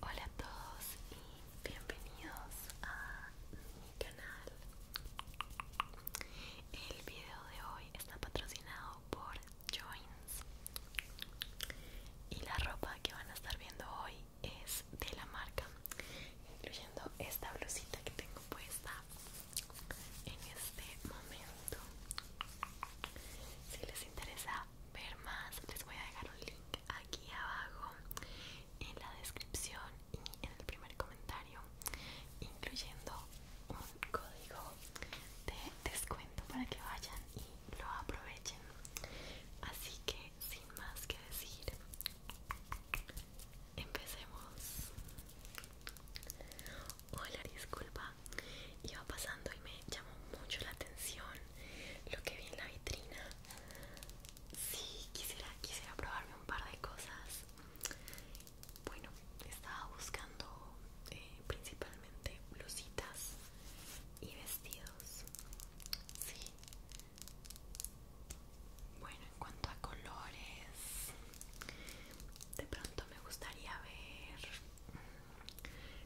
Hola a todos y bienvenidos a mi canal. El video de hoy está patrocinado por Joins y la ropa que van a estar viendo hoy es de la marca, incluyendo esta blusita que tengo puesta en este momento si les interesa ver más les voy a dejar un link aquí abajo en la descripción y en el primer comentario incluyendo un código de descuento para que vayan y lo aprovechen así que sin más que decir empecemos hola disculpa iba pasando y me llamó mucho la atención lo que vi en la vitrina. Sí, quisiera, quisiera probarme un par de cosas. Bueno, estaba buscando eh, principalmente blusitas y vestidos. Sí. Bueno, en cuanto a colores, de pronto me gustaría ver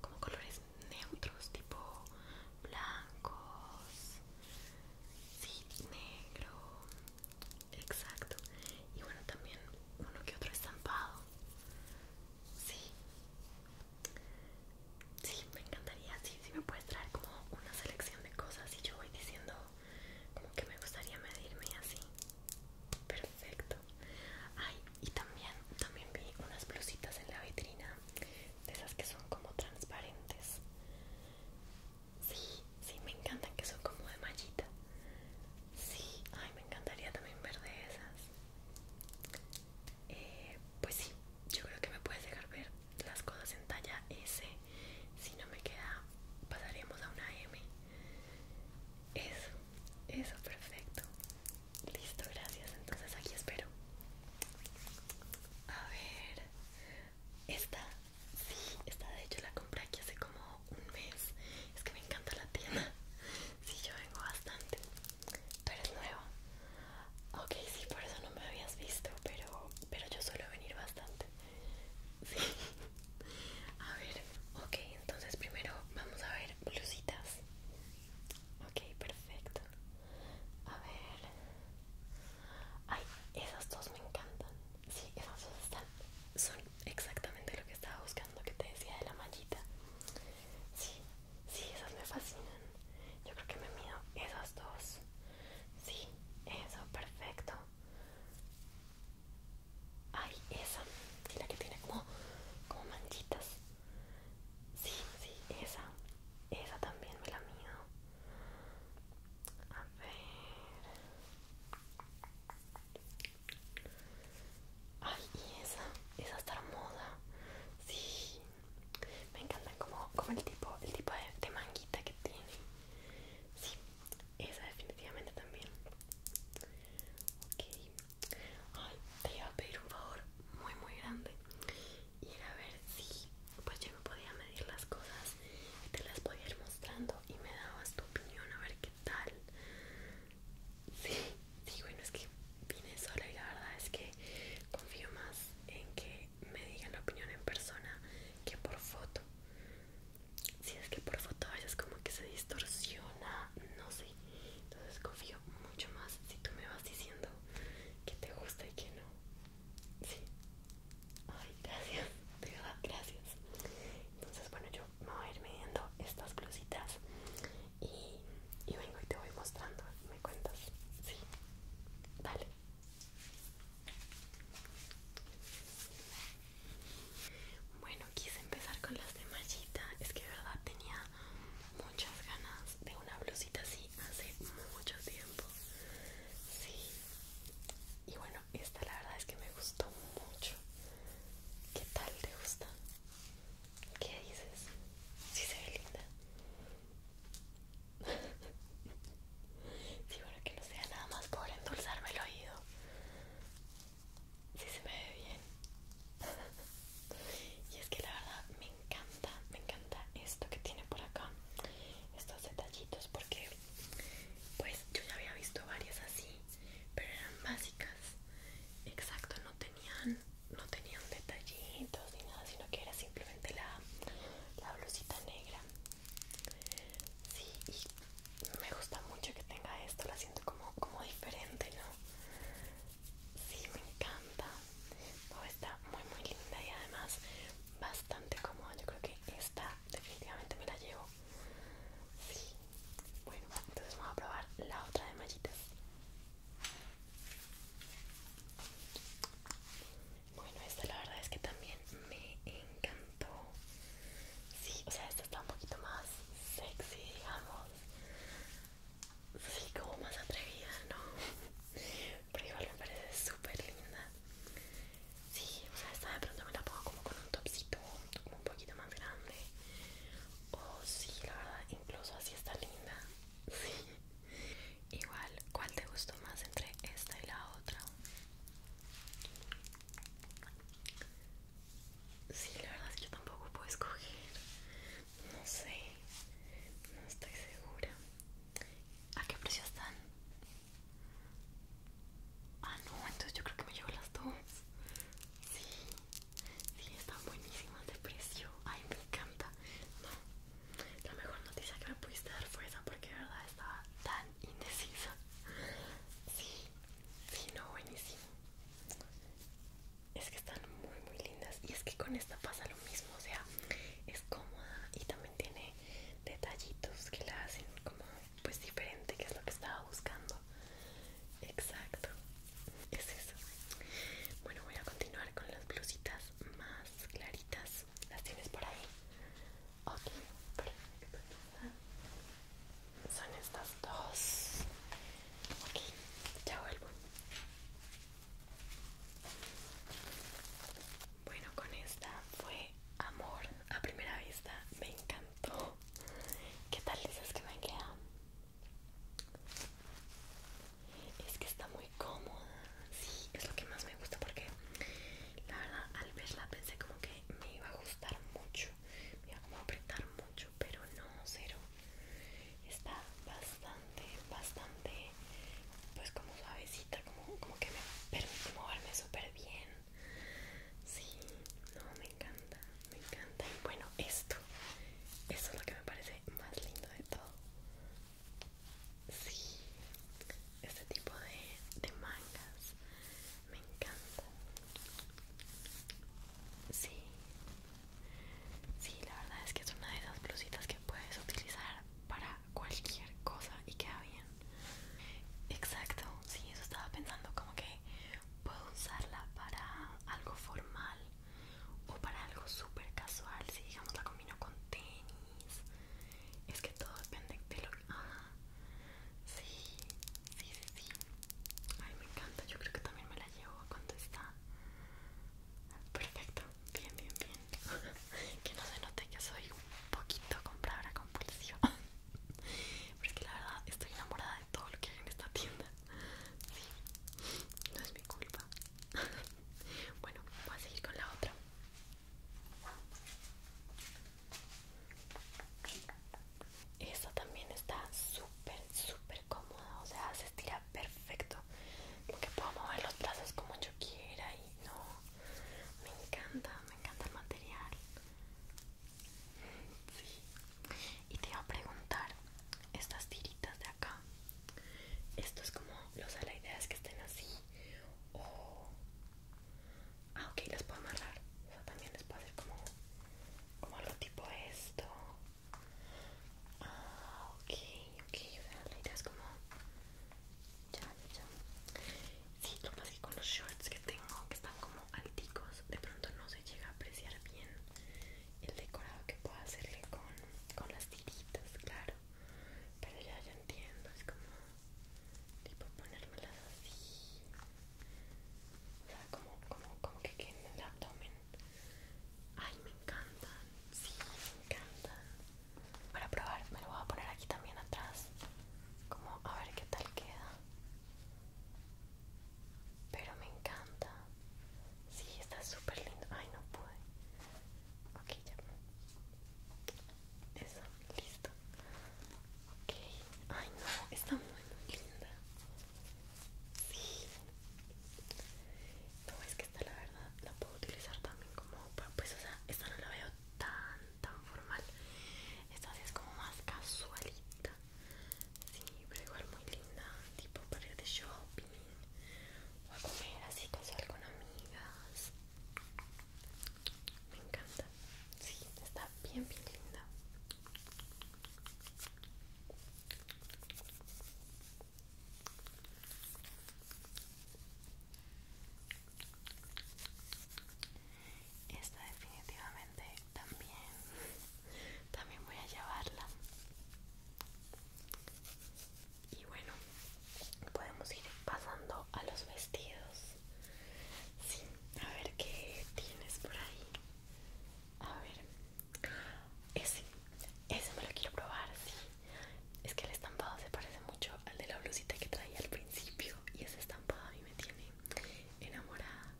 como colores neutros tipo blancos sí negro exacto y bueno también uno que otro estampado sí sí me encantaría sí sí me puedes traer como una selección de cosas y yo voy diciendo como que me gustaría medirme así Perfecto. Ay, y también, también vi unas blusitas en la vitrina, de esas que son como transparentes. Sí, sí, me encantan que son como de mallita. Sí, ay, me encantaría también ver de esas. Eh, pues sí, yo creo que me puedes dejar ver las cosas en talla S. Si no me queda, pasaríamos a una M. Eso, eso, perfecto. Listo, gracias. Entonces aquí espero. A ver. Esta, sí, esta de hecho la compré aquí hace como un mes. Es que me encanta la tienda. Sí, yo vengo bastante. Tú eres nueva. Ok, sí, por eso no me habías visto, pero, pero yo suelo venir bastante. Sí. A ver, ok, entonces primero vamos a ver blusitas. Ok, perfecto. A ver. Ay, esas dos me encantan. Sí, esas dos están. Son exactamente lo que estaba buscando que te decía de la mallita. Sí, sí, esas me fascinan. Yo creo que me mido esas dos. Sí, eso, perfecto. Ay, esa, y la que tiene como, como manchitas. Sí, sí, esa. Esa también me la mido. A ver. Ay, y esa. Esa está moda Sí. Me encanta como, como el tipo, el tipo de, de manguita que tiene. Sí, esa definitivamente también. Ok. Ay, te iba a pedir un favor muy muy grande y era ver si pues yo me podía medir las cosas y te las podía ir mostrando y me dabas tu opinión a ver qué tal. Sí, sí, bueno, es que vine sola y la verdad es que confío más en que me digan la opinión en persona que por foto. Si es que por foto vayas como que se distorsiona, no sé entonces confío mucho más si tú me vas diciendo que te gusta y que no. Sí. Ay, gracias. De verdad, gracias. Entonces, bueno, yo me voy a ir midiendo estas blusitas y, y vengo y te voy mostrando. ¿Me cuentas? Sí. Dale. Bueno, quise empezar con las de mallita. Es que verdad tenía muchas ganas de una blusita así hace mucho tiempo. Sí. Y bueno, esta la verdad es que me gustó mucho. ¿Qué tal te gusta? ¿Qué dices? Sí se ve linda. sí, bueno, que no sea nada más por endulzarme el oído si se me ve bien y es que la verdad me encanta me encanta esto que tiene por acá estos detallitos porque pues yo ya había visto varias así pero eran básicas exacto no tenían no tenían detallitos ni nada sino que era simplemente la la blusita negra sí y me gusta mucho que tenga esto la siento como como diferente no Sí, me encanta. está muy muy linda y además bastante cómoda. Yo creo que esta definitivamente me la llevo. Sí. Bueno, entonces vamos a probar la otra de mallitas. Bueno, esta la verdad es que también me encantó. Sí, o sea, esta está un poquito más sexy, digamos sí, como más atrevida, ¿no? Pero igual me parece súper linda. Sí, o sea, esta de pronto me la pongo como con un topcito, como un poquito más grande. O sí, la verdad, incluso así está linda. Sí. Igual, ¿cuál te gustó más entre esta y la otra? Sí, la verdad es que yo tampoco puedo escoger. No sé. No estoy segura. ¿A qué precio están? Ah, no, entonces yo creo que me llevo las dos. Sí, sí, están buenísimas de precio. Ay, me encanta. No, la mejor noticia que me pudiste dar fue esa porque de verdad estaba tan indecisa. Sí, sí, no, buenísimo es que están muy muy lindas y es que con esta pasa lo mismo o sea es cómoda y también tiene detallitos que la hacen como pues diferente que es lo que estaba buscando exacto es eso bueno voy a continuar con las blusitas más claritas las tienes por ahí ok perfecto son estas dos. Ok, ya vuelvo. Bueno, con esta fue amor a primera vista. Me encantó. ¿Qué tal dices que me queda? Es que está muy cómoda. Sí, es lo que más me gusta porque la verdad al verla pensé como que me iba a gustar mucho. Me iba a apretar mucho pero no, cero. Está bastante, bastante, pues como suavecita, como, como que me permite moverme súper bien. Sí, no, me encanta, me encanta. Y bueno, esto, eso es lo que me parece más lindo de todo. Sí, este tipo de, de mangas me encanta. Sí, Sí, la verdad es que es una de esas blusitas que puedes utilizar para cualquier cosa y queda bien. Exacto, sí, eso estaba pensando, como que puedo usarla para algo formal o para algo súper casual, si digamos la combino con tenis. Es que todo depende de lo que... sí, sí, sí. Ay, me encanta. Yo creo que también me la llevo cuando está. Perfecto. Bien, bien, bien. que no se note que soy un poquito compradora compulsiva. Pero es que la verdad estoy enamorada de todo lo que hay en esta tienda. Sí, no es mi culpa. bueno, voy a seguir con la otra. Esta también está súper, súper cómoda, o sea, se estira perfecto. Porque puedo mover los brazos como yo quiera y no. Me encanta, me encanta el material. Sí. Y te iba a preguntar, estas tiritas de acá, esto es como los sé, la idea es que estén así. O. Ah, ok, las puedo amarrar. O sea, también les puedo hacer como. Como algo tipo esto. Ah, ok, ok, la idea es como... Ya, ya, Sí, lo que que con los shorts que tengo, que están como alticos, de pronto no se llega a apreciar bien el decorado que puedo hacerle con, con las tiritas, claro. Pero ya, ya entiendo, es como... Tipo ponérmelas así. O sea, como, como, como que queden en el abdomen Ay, me encantan. Sí, me encantan. Para probar, me lo voy a poner aquí también atrás. Como a ver qué tal queda. Pero me encanta. Sí, está súper lindo. Ay, no pude. Ok, ya. Eso, listo. Ok. Ay, no, está muy, muy linda. No, es que esta la verdad la puedo utilizar también como pues o sea, esta no la veo tan tan formal. Esta es como más casualita. Sí, pero igual muy linda, tipo para ir de shopping o a comer así con con amigas. Me encanta. Sí, está bien bien linda. Esta definitivamente también, también voy a llevarla. Y bueno, podemos ir pasando a los vestidos. Sí, a ver qué tienes por ahí. A ver, ese, ese me lo quiero probar, sí. Es que el estampado se parece mucho al de la blusita que traía al principio. Y ese estampado a mí me tiene enamorada.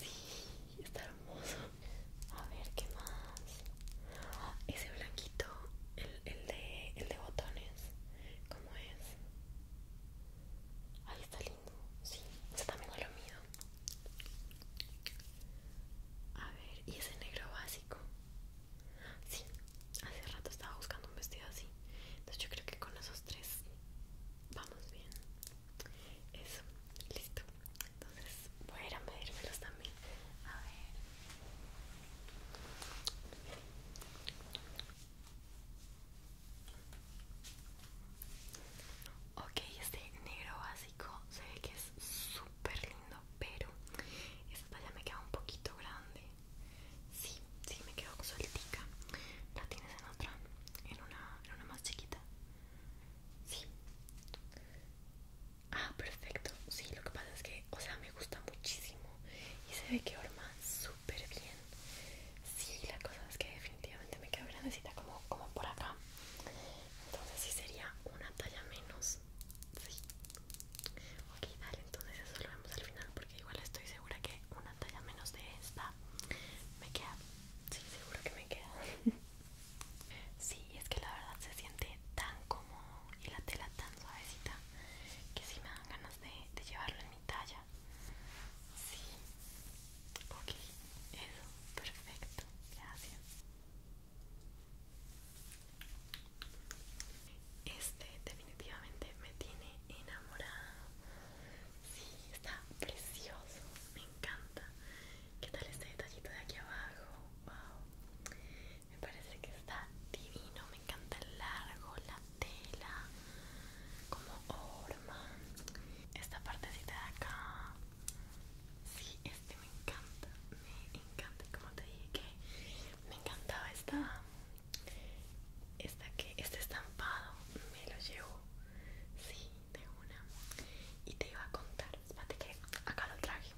Sí, está hermoso. A ver, ¿qué más? Ese blanquito, el, el, de, botones. ¿Cómo es? Ahí está lindo. Sí, está también lo mío a ver, y ese negro básico. Sí, hace rato estaba buscando un vestido así. Entonces yo creo que con esos tres vamos bien. Eso, listo. Entonces voy a ir a medírmelos también. A ver. Ok, este negro básico se ve que es súper lindo, pero esta talla me queda un poquito grande. Sí, sí, me quedo sueltica. ¿La tienes en otra? ¿En una, en una más chiquita? Sí. Ah, perfecto. Sí, lo que pasa es que, o sea, me gusta muchísimo y se ve que horma súper bien. Sí, la cosa es que definitivamente me queda grandecita como, como por acá entonces si sería una talla menos sí ok dale entonces eso lo vemos al final porque igual estoy segura que una talla menos de esta me queda sí seguro que me queda sí es que la verdad se siente tan cómodo y la tela tan suavecita que sí me dan ganas de, llevarlo en mi talla sí ok eso perfecto gracias este definitivamente me tiene enamorada. Sí, está precioso, me encanta. ¿Qué tal este detallito de aquí abajo? Wow. Me parece que está divino, me encanta el largo, la tela, como forma Esta partecita de acá. Sí, este me encanta, me encanta, como te dije que me encantaba esta, esta que, este estampado, me lo llevo, sí, de una, y te iba a contar, espérate que acá lo traje,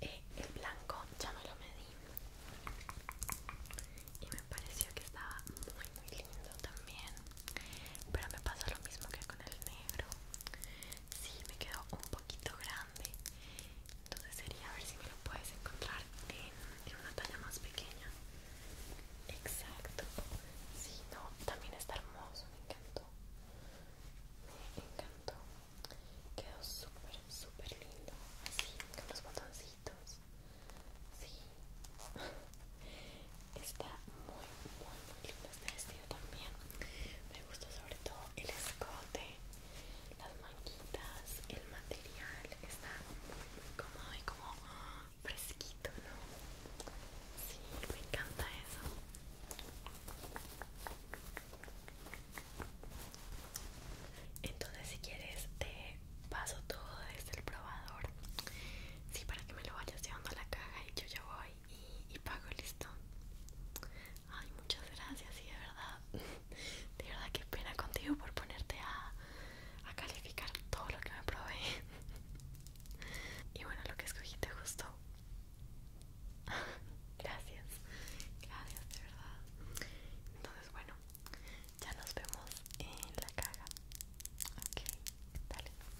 eh, el blanco ya me lo medí y me pareció que estaba muy muy lindo también, pero me pasa lo mismo que con el negro Sí, me quedó un poquito grande. Entonces sería a ver si me lo puedes encontrar en, una talla más pequeña. Exacto. Sí, no, también está hermoso, me encantó. Me encantó. Quedó súper, súper lindo. Así, con los botoncitos. Sí. Está muy, muy, muy lindo este vestido también me gusta sobre todo el escote las manguitas el material está muy, cómodo y como fresquito no sí me encanta eso entonces si quieres te paso todo desde el probador sí para que me lo vayas llevando a la caja y yo ya voy y, pago listo. Ay, muchas gracias y de verdad, de verdad que pena contigo por ponerte a, a calificar todo lo que me probé. Y bueno, lo que escogí te gustó. Gracias, gracias de verdad. Entonces, bueno, ya nos vemos en la caga Ok, dale.